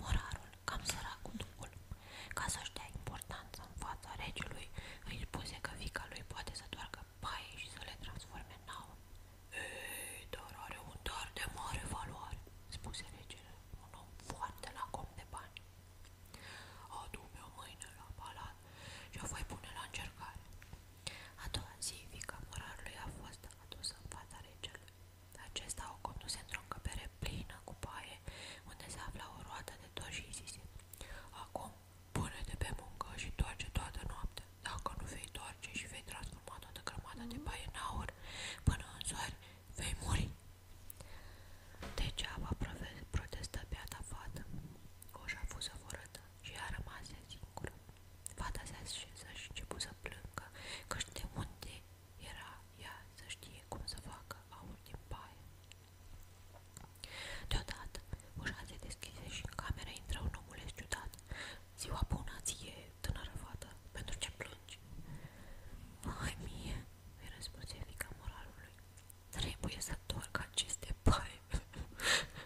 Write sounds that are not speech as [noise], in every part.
Morarul, cam sărac cu ducul, ca să-și dea importanță în fața regelui, îi spuse că fica lui poate să doargă paie și să le transforme în aur. Ei, dar are un dar de mare valoare, spuse regele, un om foarte la com de bani. Adu-mi-o mâine la palat și o voi pune la încercare. A doua zi, fica morarului a fost adusă în fața regelui. Acesta o conduse într-o încăpere plină cu paie, unde se afla o roată de tot și zise Acum, pune-te pe muncă și toarce toată noaptea. Dacă nu vei toarce și vei transforma toată grămada de paie în aur, până în soare vei muri. Degeaba protestă beata fată. Coșa a fost și a rămas singură. Fata se așeză și început să plângă, căci de unde era ea să știe cum să facă aur din paie. Deodată, ușa se deschise și în cameră intră un omuleț ciudat. Ziua bună ție, tânără fată, pentru ce plângi? Mai mie, îi răspunse fica moralului, trebuie să întorc aceste paie. [laughs]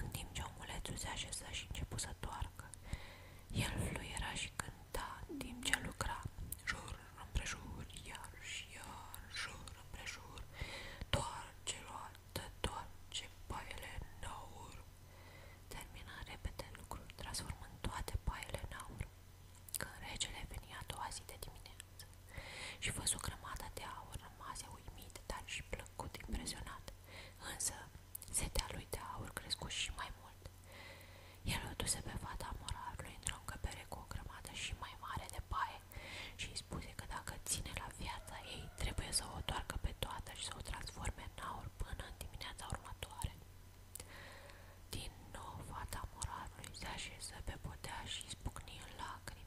în timp ce omulețul se așeza și începu să toarcă. El fluiera și cânta timp ce lucra, jur împrejur, iar și iar, jur împrejur, toarce roată, toarce paiele în aur. Termina repede lucrul, transformând toate paiele în aur. regele veni a dimineață și văzu de aur, rămase uimit, dar și plăcut plăcut impresionat, însă setea lui de aur și mai mult. El o duse pe într-o încăpere și mai mare de paie și spuse că dacă ține la viața ei, trebuie să o toarcă pe toată și să o transforme în aur până dimineața următoare. Din nou, fata morarului se pe podea și spucni în lacrimi.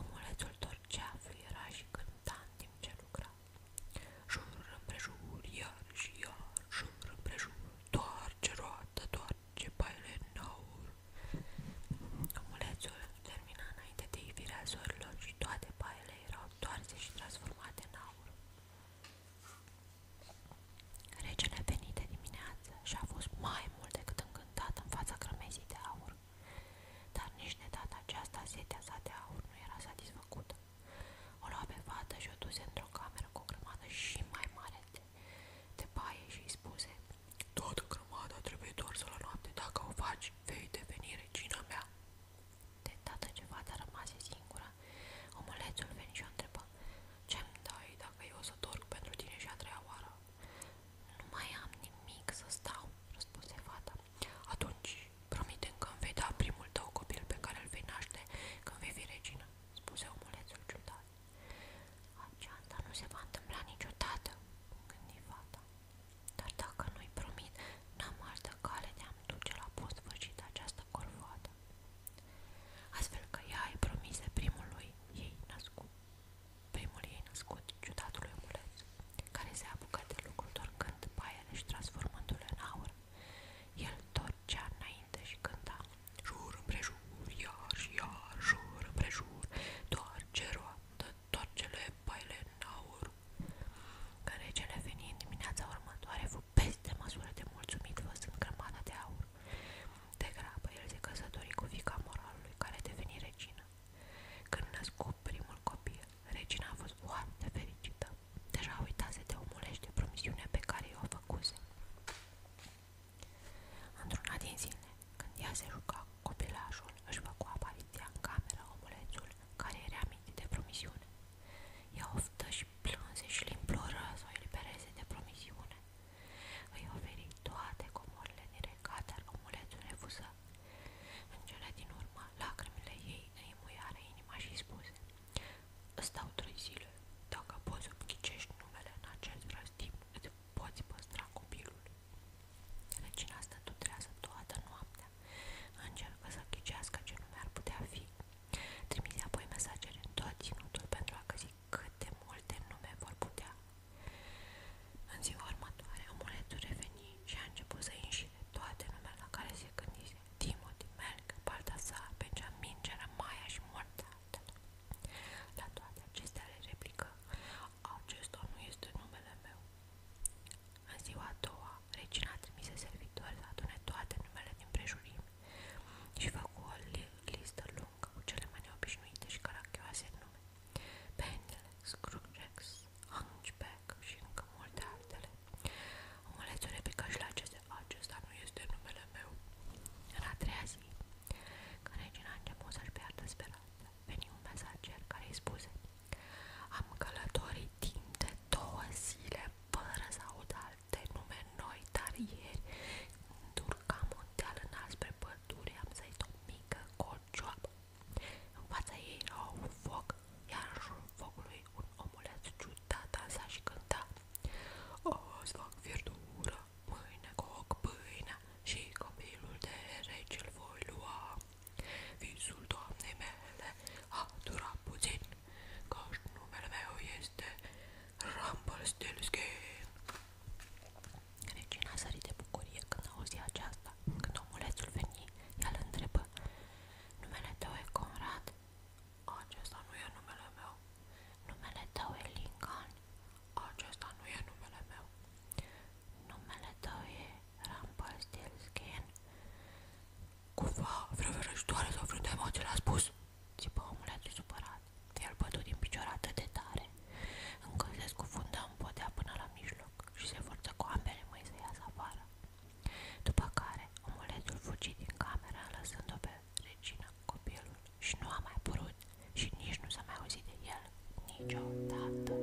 Omulețul torcea, fluiera și cânta în timp ce lucra. Jur împrejur, roată, doar ce baile în aur. Omulețul termina înainte de ivirea zorilor și toate baile erau toarse și transformate în aur. Regele venit de dimineață și a fost mai mult decât încântat în fața crămezii de aur. Dar nici de data aceasta setea sa de aur nu era satisfăcută. O lua pe fată și o duse într-o cameră cu o grămadă și mai mare de, de baie și îi spuse Toată grămada trebuie doar să la noapte, dacă o faci, vei deveni regina mea. De data ce fata rămase singură, omulețul veni și o întrebă Ce-mi dai dacă eu o să dorm pentru tine și a treia oară? Nu mai am nimic să stau, răspunse fata. Atunci, promite că îmi vei da primul tău copil pe care îl vei naște când vei fi regină, spuse omulețul ciudat. Aceasta nu se va întâmpla niciodată, gândi fata. Dar dacă nu-i promit, n-am altă cale de a-mi duce la bun sfârșit această corvoadă. Astfel că ea îi promise primului ei născut. Primul ei născut, ciudatul omuleț, care se apucă de lucru torcând paiele și transformându-le în aur. El torcea înainte și cânta Jur împrejur, iar și iar, jur împrejur, toarce roată, toarcele paiele în aur. Care regele veni în dimineața următoare fu peste măsură de mulțumit văzând grămada de aur. De grabă, el se căsători cu fica moralului, care deveni regină. Când născu primul copil, regina a fost foarte fericită. Deja uitase de omulește promisiunea pe care i-o făcuse. Într-una din zile, când ea se juca copilașul, își făcu apariția în camera omulețul care era amintit de promisiune. Ea oftă și plânse și îl imploră să o elibereze de promisiune, îi oferi toate comorile din regat, dar omulețul refuză. În cele din urmă, lacrimile ei îi muiară inima și spuse Stau trei zile. Dacă poți obchicești numele în acest răstim, îți poți păstra copilul. Regina stă tutrează toată noaptea. Încercă să ghicească ce nume ar putea fi. Trimise apoi mesajele în tot ținutul pentru a găsi cât de multe nume vor putea în ziua următoare, omuletul reveni și a început să înșire toate numele la care se gândise Timothy, Merc, Baltasar, Benjamin, Jeremiah și multe altele. La toate acestea le replică, acesta nu este numele meu. În ziua a doua, regina trimise servitori să adune toate numele din prejurim și făcu o listă lungă cu cele mai neobișnuite și caracteroase nume. Penile, Scrooge, Hunchback și încă multe altele. Omulețul replică și la aceste, acesta nu este numele meu. În a treia zi, când regina a început să-și piardă speranța, veni un mesager care îi spuse Am călătorit timp de două zile fără să aud alte nume noi, dar ieri, când urcam un deal înalt spre păr, pădure am zăit o mică corcioabă. În fața ei era un foc, iar în jurul focului un omuleț ciudat dansa și cânta. Azi fac verdură, mâine coc pâinea și copilul de rece îl voi lua. Visul doamnei mele a durat puțin, căci numele meu este Rumpelstiltskin. Regina sări bucurie când auzi aceasta. Când omulețul veni, ea îl Numele tău e Conrad? nu e numele meu. Numele tău e Lincoln? Acesta nu e numele meu. Numele tău e Rumpelstiltskin? Cumva, vreo vereștoare sau vreun demon ți l spus? Și bă, omul a supărat. El bătut din picior atât de tare, încât se scufundă în podea până la mijloc și se forță cu ambele mâini să iasă afară. După care, omulețul fugi din cameră, lăsând-o pe regină, copilul, și nu a mai părut și nici nu s-a mai auzit de el niciodată.